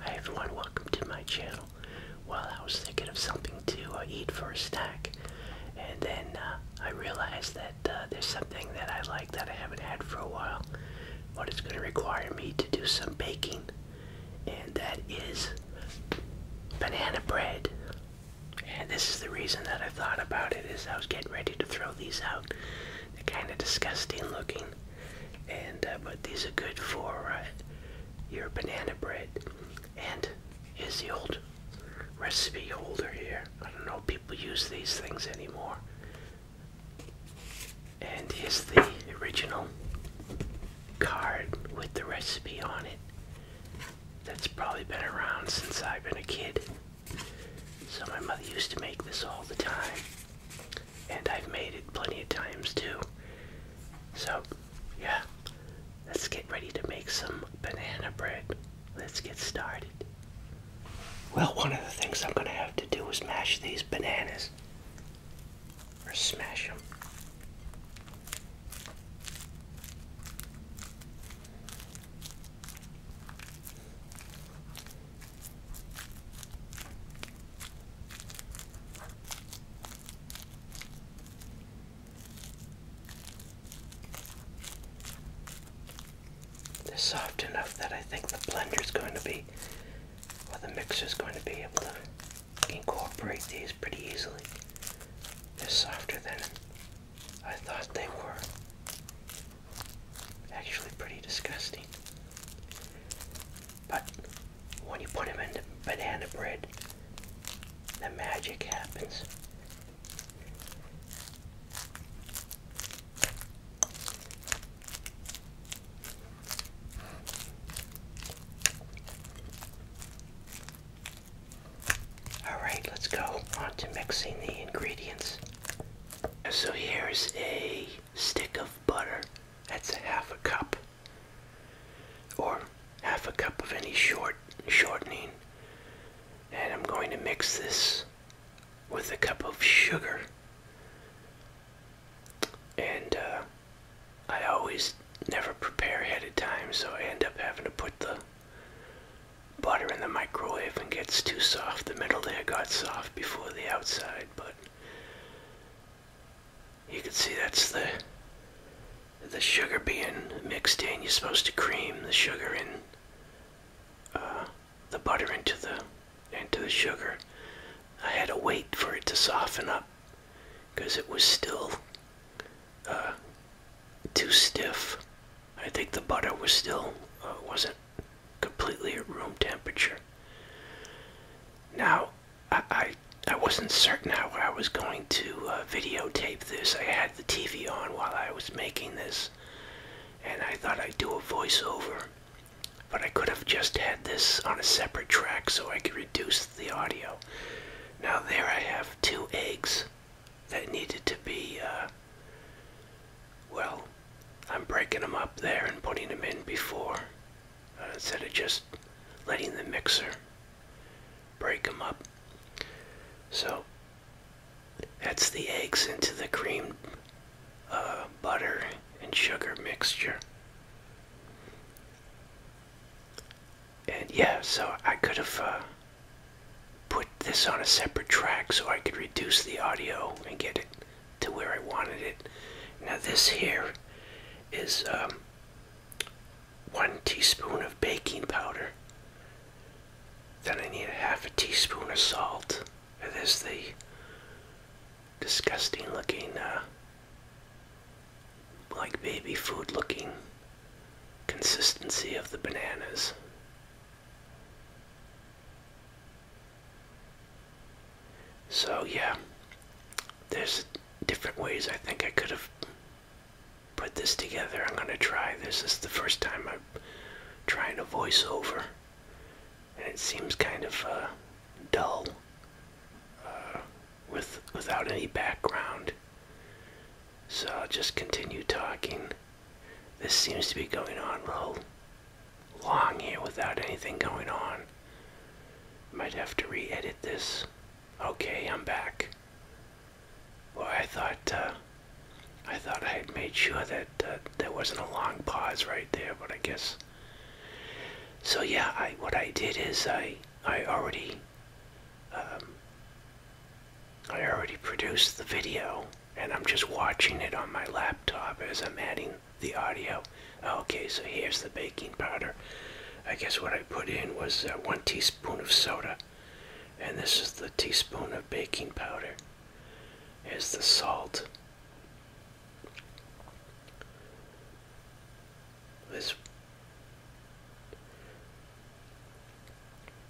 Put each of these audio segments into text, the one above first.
Hi everyone, welcome to my channel. Well, I was thinking of something to uh, eat for a snack, and then uh, I realized that uh, there's something that I like that I haven't had for a while, but it's going to require me to do some baking, and that is banana bread. And this is the reason that I thought about it, is I was getting ready to throw these out. They're kind of disgusting looking, and uh, but these are good for uh, your banana bread. And here's the old recipe holder here. I don't know people use these things anymore. And here's the original card with the recipe on it. That's probably been around since I've been a kid. So my mother used to make this all the time and I've made it plenty of times too. So, yeah, let's get ready to make some banana bread. Let's get started. Well, one of the things I'm going to have to do is mash these bananas, or smash them. They're soft enough that I think the blender is going to be, or the mixer is going to be able to incorporate these pretty easily. They're softer than I thought they were. Actually, pretty disgusting. But when you put them in the banana bread, the magic happens. Alright, let's go on to mixing the ingredients. So here's a stick of butter. That's half a cup. Or half a cup of any short shortening. And I'm going to mix this with a cup of sugar. And uh, I always never prepare ahead of time, so I end up having to put the butter in the microwave and gets too soft. The middle there got soft before the outside, but you can see that's the the sugar being mixed in. You're supposed to cream the sugar in uh, the butter into the into the sugar. I had to wait for it to soften up because it was still uh, too stiff. I think the butter was still uh, wasn't completely at room temperature. Now, I, I, wasn't certain how I was going to uh, videotape this. I had the TV on while I was making this, and I thought I'd do a voiceover. But I could have just had this on a separate track so I could reduce the audio. Now there I have two eggs that needed to be, uh, well, I'm breaking them up there and putting them in before uh, instead of just letting the mixer break them up. So that's the eggs into the cream, uh, butter, and sugar mixture. And yeah, so I could have uh, put this on a separate track so I could reduce the audio and get it to where I wanted it. Now this here is um, one teaspoon of baking powder. Then I need a half a teaspoon of salt. There's the disgusting looking, uh, like baby food looking consistency of the bananas. So yeah, there's different ways I think I could have put this together. I'm gonna try this. This is the first time I'm trying a voiceover, and it seems kind of uh, dull uh, with without any background. So I'll just continue talking. This seems to be going on real long here without anything going on. Might have to re edit this. Okay, I'm back. Well, I thought, uh, I thought I had made sure that uh, there wasn't a long pause right there, but I guess. So yeah, what I did is I I already um, I already produced the video, and I'm just watching it on my laptop as I'm adding the audio. Okay, so here's the baking powder. I guess what I put in was uh, one teaspoon of soda, and this is the teaspoon of baking powder. Is the salt. This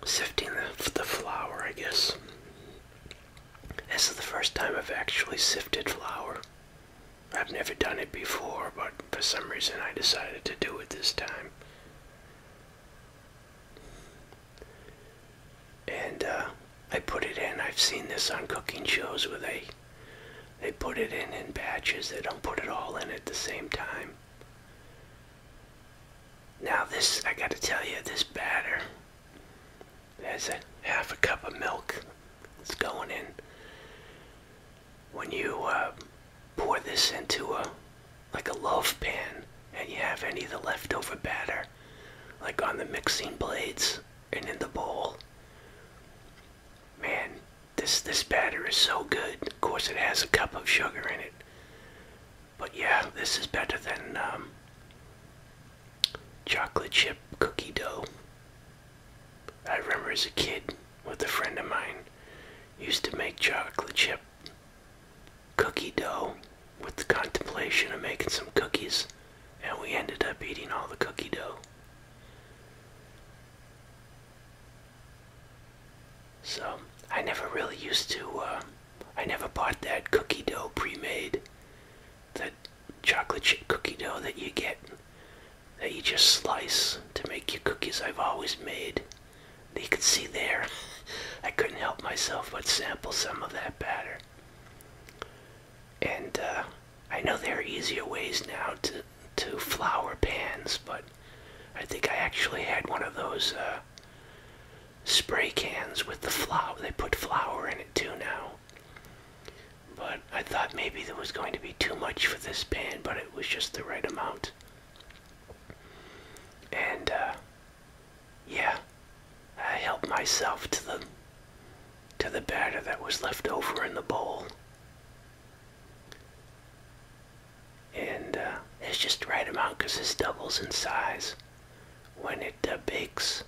sifting the flour, I guess. This is the first time I've actually sifted flour. I've never done it before, but for some reason I decided to do it this time. And uh, I put it in. I've seen this on cooking shows where they they put it in in batches. They don't put it all in at the same time. Now this, I gotta tell you, this batter there's a half a cup of milk that's going in. When you uh, pour this into a like a loaf pan and you have any of the leftover batter like on the mixing blades and in the bowl. Man, this this batter is so good. Of course it has a cup of sugar in it. But yeah, this is better than um, chocolate chip cookie dough. I remember as a kid with a friend of mine used to make chocolate chip cookie dough with the contemplation of making some cookies and we ended up eating all the cookie dough. So I never really used to, uh, I never bought that cookie dough pre-made that chocolate chip cookie dough that you get that you just slice to make your cookies I've always made. You can see there, I couldn't help myself but sample some of that batter. And uh, I know there are easier ways now to, to flour pans, but I think I actually had one of those uh, spray cans with the flour. They put flour in it too now. But I thought maybe there was going to be too much for this pan, but it was just the right amount. And, uh, yeah, I helped myself to the to the batter that was left over in the bowl. And uh, it's just the right amount because this doubles in size when it uh, bakes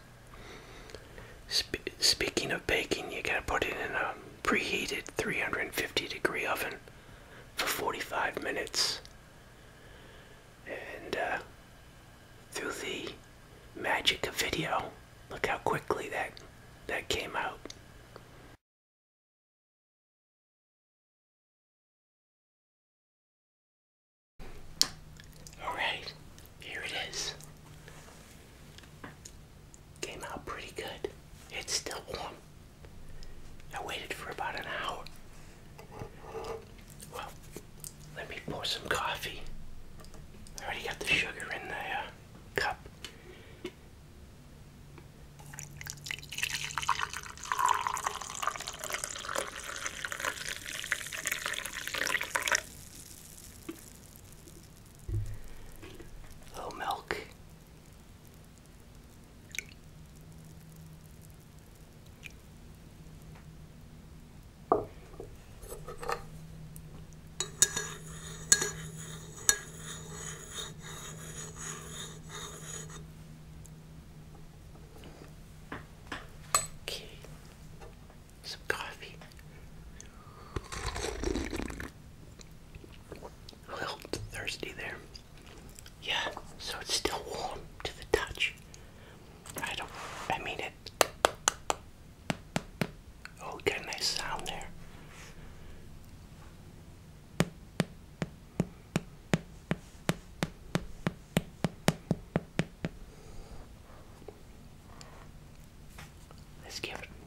speaking of baking, you gotta put it in a preheated 350 degree oven for 45 minutes. And uh, through the magic of video, look how quickly that that came out. Alright, here it is. Came out pretty good. It's still warm. I waited for about an hour. Well, let me pour some coffee. I already got the sugar in the uh, cup. Oh, milk. Okay some coffee, a little thirsty there. Yeah, so it's still warm to the touch. I don't, I mean it. Oh, got a nice sound there.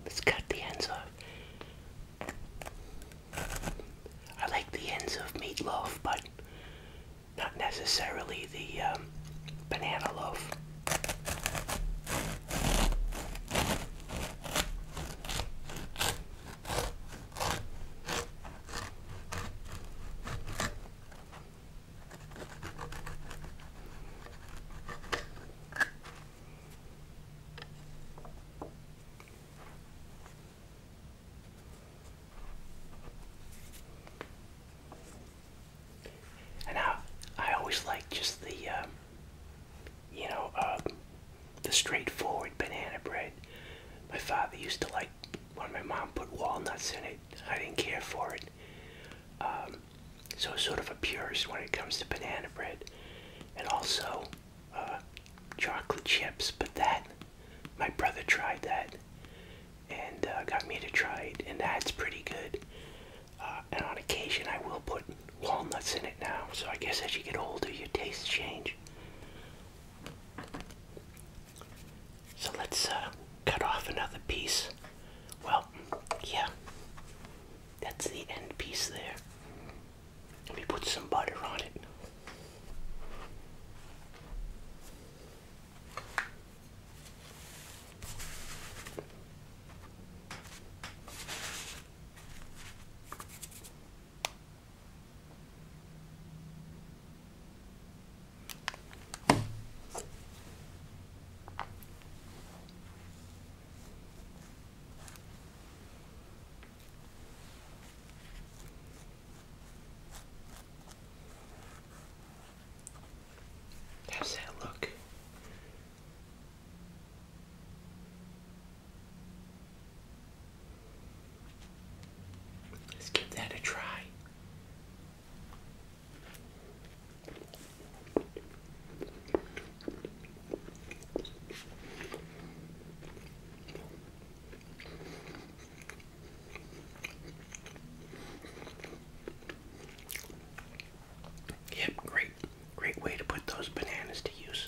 Let's cut the ends off. I like the ends of meatloaf, but not necessarily the um, banana loaf. And I, I always like just the, uh, you know, uh, the straightforward banana bread. My father used to like when my mom put walnuts in it. I didn't care for it. Um, so sort of a purist when it comes to banana bread, and also uh, chocolate chips. But that, my brother tried that, and uh, got me to try it, and that's pretty good. Uh, and on occasion, I will put walnuts in it now. So I guess as you get older, your tastes change. So let's cut off another piece. Well, yeah, that's the end piece there. Let me put some butter on it. How's that look? Let's give that a try. Yep, great, great way to put those bananas to use.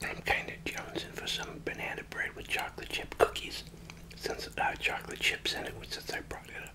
I'm kind of jonesing for some banana bread with chocolate chip cookies since I uh, chocolate chips in it since I brought it up.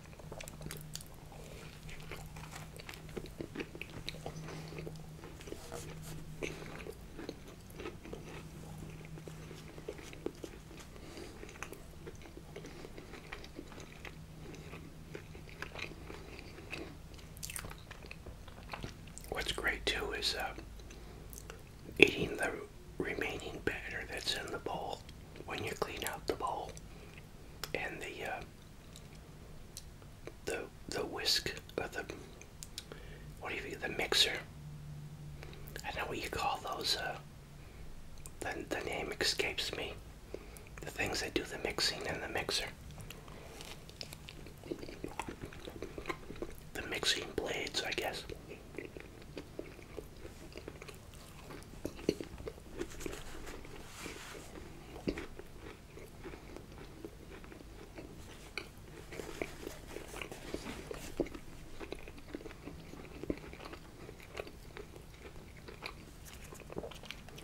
What's great too is uh, eating the remaining batter that's in the bowl when you clean out the bowl and the uh, the the whisk or the what do you the mixer I know what you call those uh, the, the name escapes me the things that do the mixing in the mixer the mixing blades I guess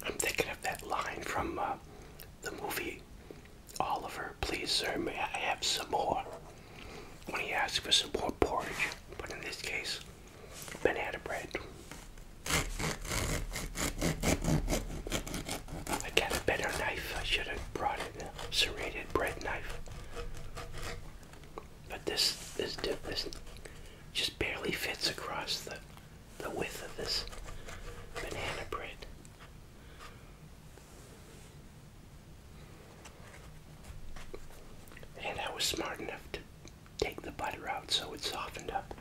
I'm thinking of that line from uh, the movie Oliver, please, sir, may I have some more? When he asks for some more porridge, but in this case, banana bread. I got a better knife. I should have brought a serrated bread knife. But this this this just barely fits across the the width of this banana bread. And I was smart enough to take the butter out so it softened up.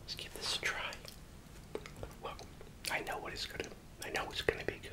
Let's give this a try. Look, I know what it's gonna. I know it's gonna be good.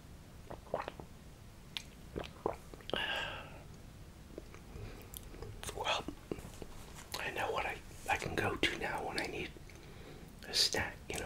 Well, I know what I, I can go to now when I need a snack, you know.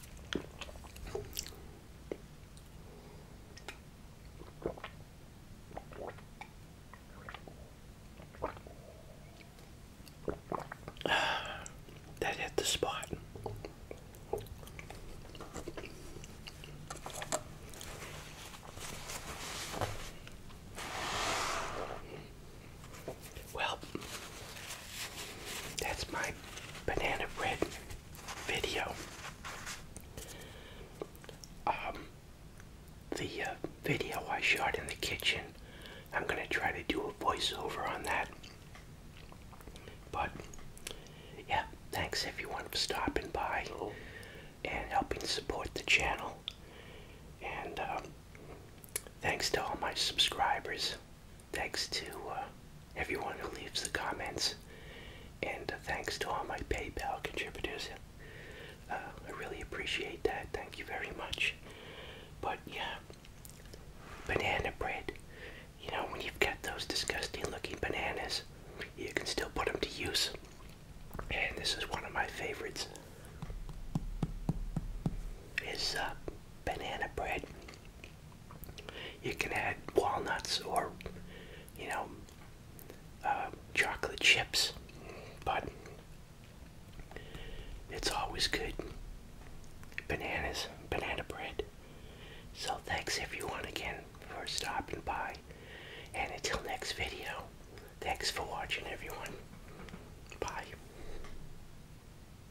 That hit the spot. Well, that's my banana bread video. Um, the uh, video I shot in the kitchen, I'm going to try to do a voiceover on that. But, yeah, thanks everyone for stopping by and helping support the channel. And uh, thanks to all my subscribers. Thanks to uh, everyone who leaves the comments, and uh, thanks to all my PayPal contributors. Uh, I really appreciate that. Thank you very much. But yeah, banana bread. You know, when you've got those disgusting looking bananas, you can still put them to use. And this is one of my favorites. Is banana bread. You can add walnuts or, you know, uh, chocolate chips, but it's always good. Bananas, banana bread. So thanks everyone again for stopping by, and until next video, thanks for watching everyone. Bye.